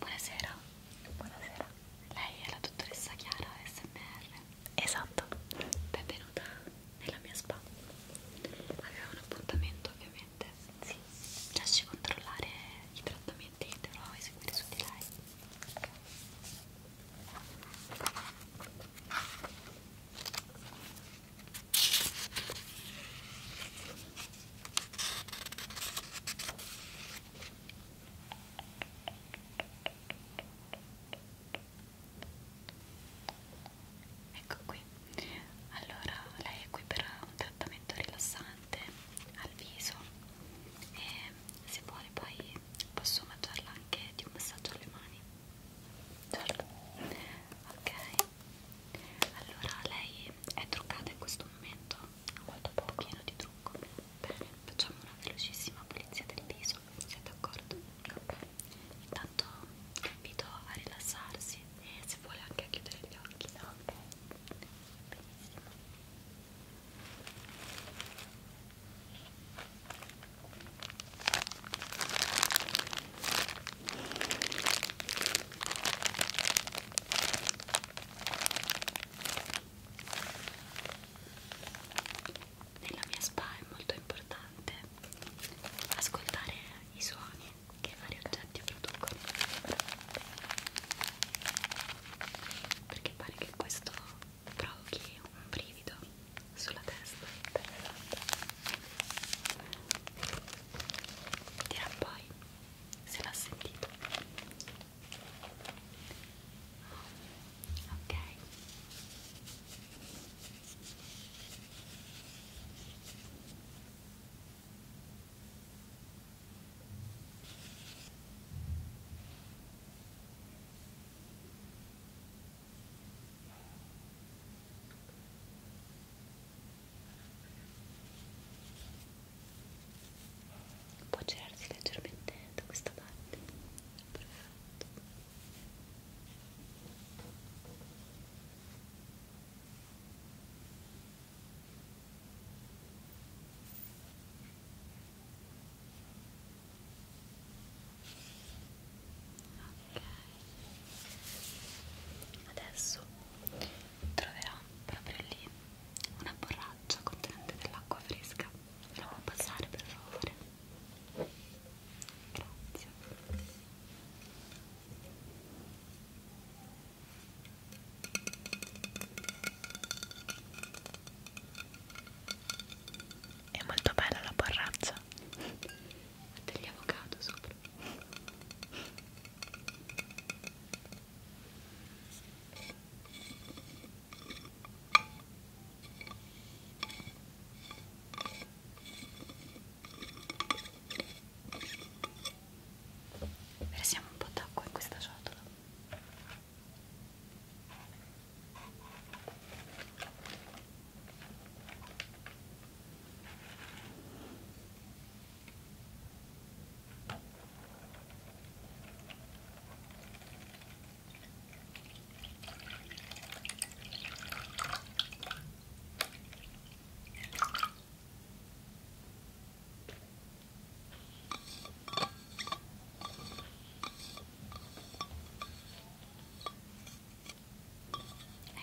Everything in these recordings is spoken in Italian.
Buonasera. Buonasera. Lei è la dottoressa Chiara SMR. Esatto. Benvenuta nella mia spa. Avevo un appuntamento ovviamente sì, lasci controllare i trattamenti che dovrò eseguire su di lei ecco qui allora lei è qui per un trattamento rilassante al viso e se vuole poi posso mangiarla anche di un massaggio alle mani certo ok allora lei è truccata in questo momento molto pochino di trucco bene facciamo una velocissima pulizia del viso siete d'accordo? ok intanto invito a rilassarsi e se vuole anche a chiudere gli occhi no? ok benissimo nella mia spa è molto importante ascoltare i suoni che i vari oggetti producono perché pare che questo provochi un brivido sulla testa dirà poi se l'ha sentito ok Può girarsi leggermente da questa parte. Perfetto. Adesso troverò proprio lì una borraccia contenente dell'acqua fresca. Me la può passare per favore? Grazie. È molto bella la borrazza degli avocado sopra. Versiamo un po' d'acqua in questa ciotola.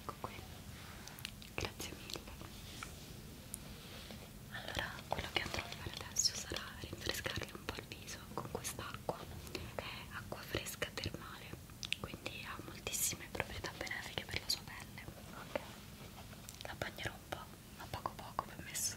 Ecco qui, grazie mille. Allora, quello che andrò a fare adesso sarà rinfrescarli un po' al viso con quest'acqua che è acqua fresca termale quindi ha moltissime proprietà benefiche per la sua pelle ok la bagnerò un po' ma poco poco permesso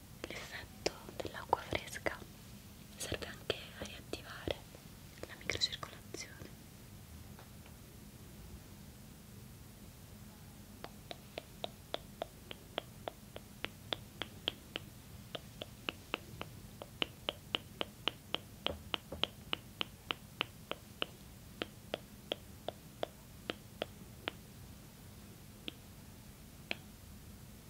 l'effetto dell'acqua fresca serve anche a riattivare la microcircolazione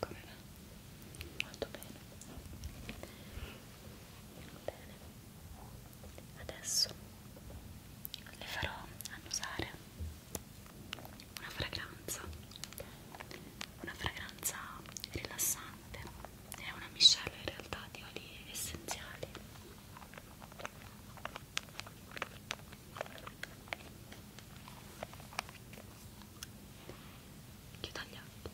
Come va? Molto bene. Bene. Adesso le farò annusare una fragranza. Una fragranza rilassante. È una miscela in realtà di oli essenziali. Chiudo gli occhi.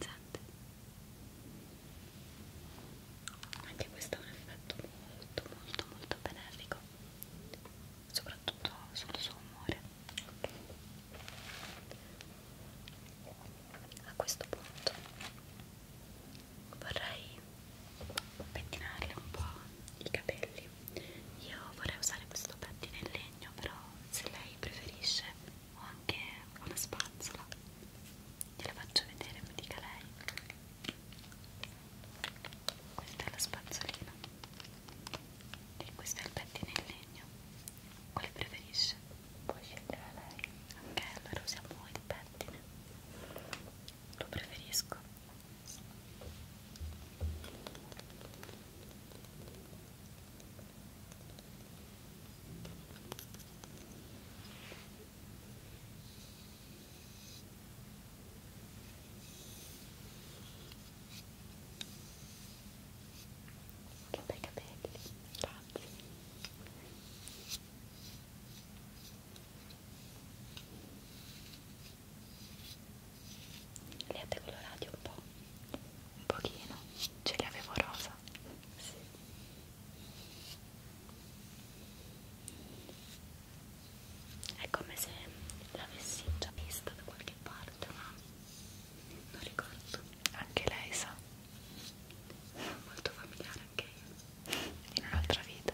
Senti. Anche questo ha un effetto molto molto molto benefico, soprattutto sul suo umore. A questo punto vorrei pettinarle un po' i capelli io vorrei usare questo pettine in legno però se lei preferisce ho anche una spazzola gliela faccio vedere mi dica lei questa è la spazzolina e questo è il pettine in legno quale preferisce? puoi scegliere lei ok allora usiamo il pettine lo preferisco ok che bei capelli, grazie. Li avete colorati un po'? Un pochino, ce li avevo rosa. Sì. È come se l'avessi già vista da qualche parte, ma non ricordo anche lei sa molto familiare anche io in un'altra vita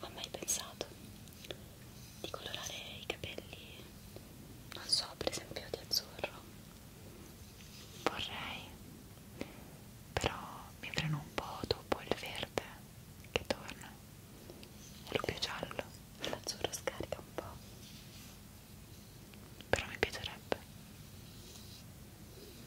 ho mai pensato di colorare i capelli, non so, per esempio di azzurro? Vorrei, però mi freno un po' dopo il verde che torna, quello più giallo. L'azzurro scarica un po' però mi piacerebbe Niente. Ecco.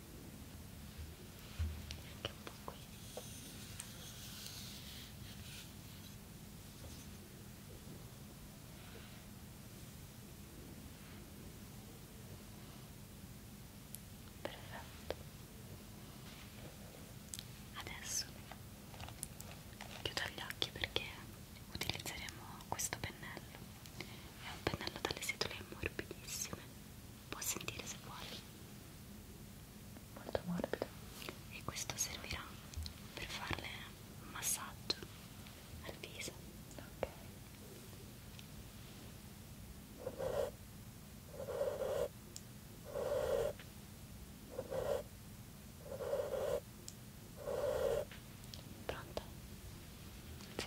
anche un po' qui perfetto adesso chiudo gli occhi perché utilizzeremo questo pennello è un pennello dalle setole morbidissime può sentire se vuole molto morbido e questo servirà per farle un massaggio al viso ok Pronto? Sì.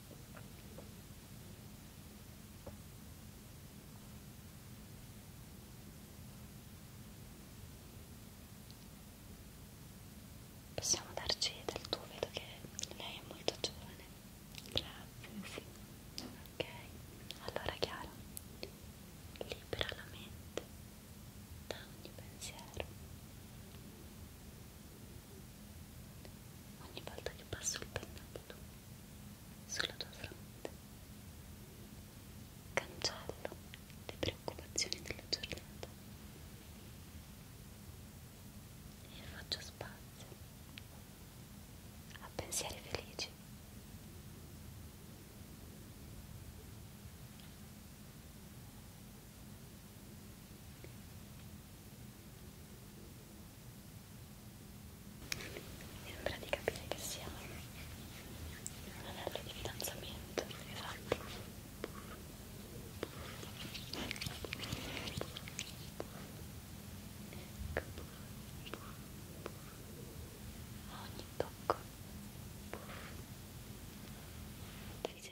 Possiamo darci del tuo, vedo che lei è molto giovane. Grazie, sì. Ok, allora Chiara, libera la mente da ogni pensiero ogni volta che passo il pennello sulla tua fronte cancello le preoccupazioni della giornata e faccio spazio a pensieri felici mi sembra di capire che sia un anello di fidanzamento, esatto. A ogni tocco devi